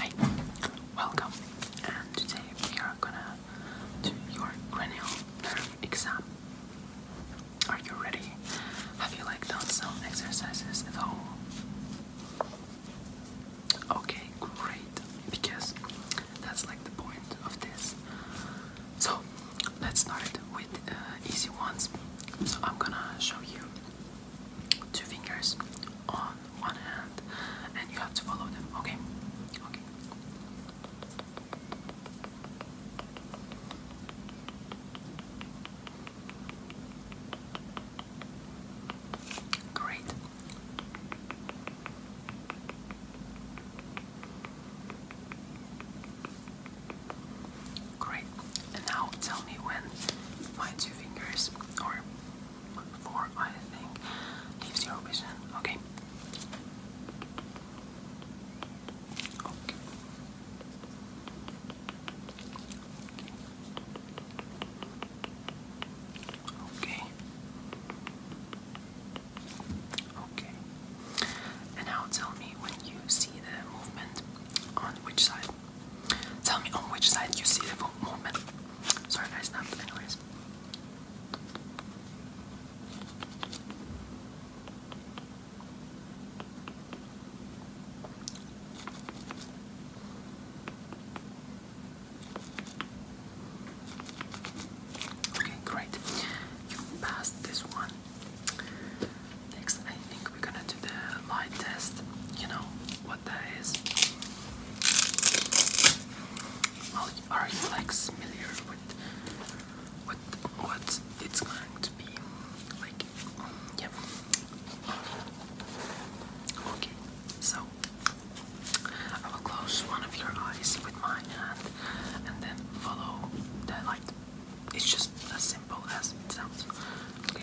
Hey, welcome, and today we are gonna do your cranial nerve exam. Are you ready? Have you like done some exercises at home? Okay, great, because that's like the point of this. So let's start with uh, easy ones. So I'm gonna show you two fingers on one hand and you have to follow them okay okay Great. Great. And now tell me when my two fingers, or four, I think, leaves your vision. Okay. Okay. Okay. Okay. And now tell me when you see the movement on which side. Tell me on which side you see the movement. Sorry, guys. snapped, anyways. Okay, great. You passed this one. Next, I think we're gonna do the light test. You know what that is? are you like familiar with what what it's going to be? Like, yeah. Okay, so I will close one of your eyes with my hand and then follow the light. It's just as simple as it sounds. Okay.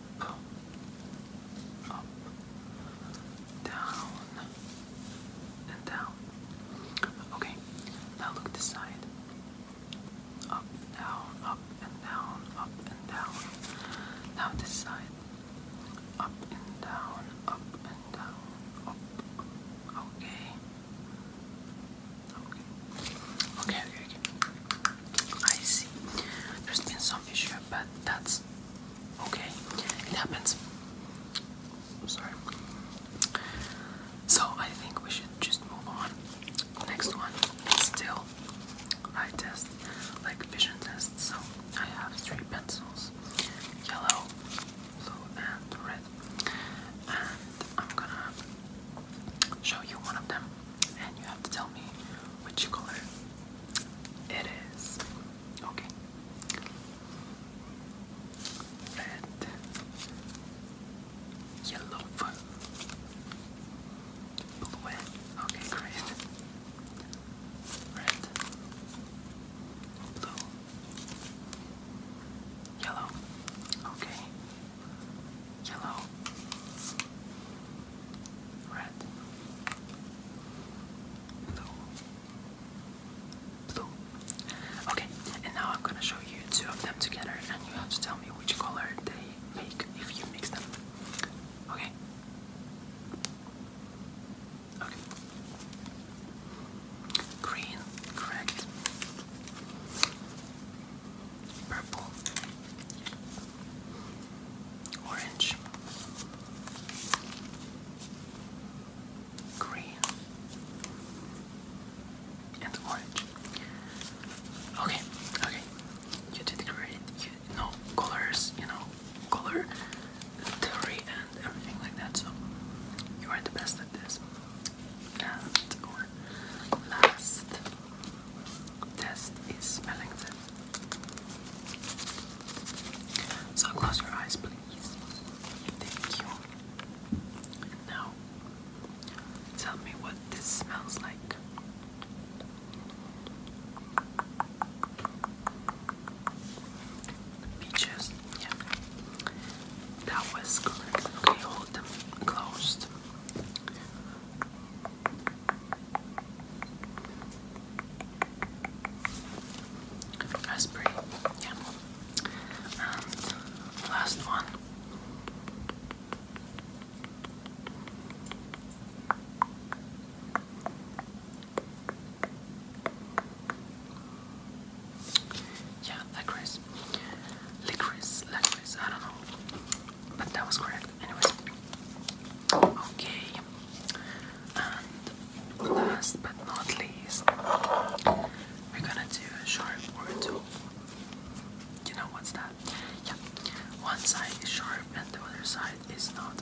up, up, down, and down. Okay, now look this side. Up, down, up, and down, up, and down. Now this side. Up and down, up and down, up. Okay. Okay, okay, okay. I see. There's been some issue, but that's okay. It happens. sorry. So I think we should just move on. Next one is still I test, like vision test. So I have three pencils: yellow, blue, and red. I'm gonna show you one of them and you have to tell me which color it is. Okay. Red, yellow, blue. Okay, great. Red, blue, yellow. Okay yellow, red, blue, blue. Okay, and now I'm gonna show you two of them together, and you have to tell me which color they make if you mix them. Okay. Okay. Green, correct purple, orange, green, and orange. Okay, okay, you did great. You colors, you know color theory and everything like that. So you are the best at this last or test is smelling test. So close your eyes, please. Thank you. now, tell me what this smells like. Peaches. Yeah. That was good. Okay, hold them closed. Raspberry. Yeah. And um, last one. Yeah, licorice. Licorice, licorice, I don't know. But that was correct. Anyways. Okay. And last but not least, we're gonna do a sharp or two. You know what's that? Yeah. One side is sharp and the other side is not.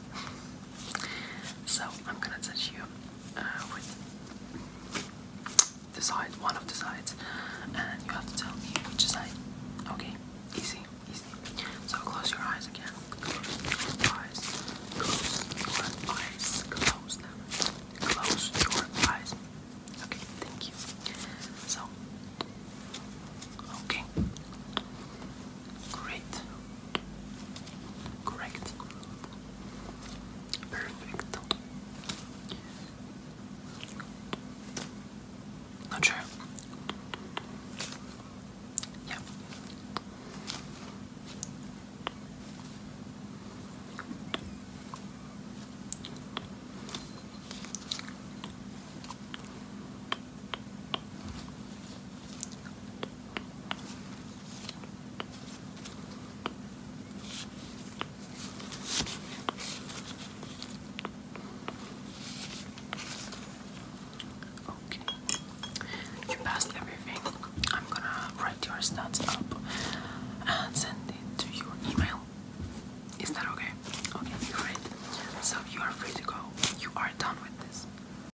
So I'm gonna touch you uh, with the side, one of the sides, and you have to tell me which side. Okay, easy, easy. So close your eyes again. Close, your eyes. Close your eyes. Close them. Close your eyes. Okay, thank you. So, okay, great, correct. Perfect. Not sure. Okay, you passed everything. I'm gonna write your stats up and send it to your email. Is that okay? Okay, great. So you are free to go. You are done with this.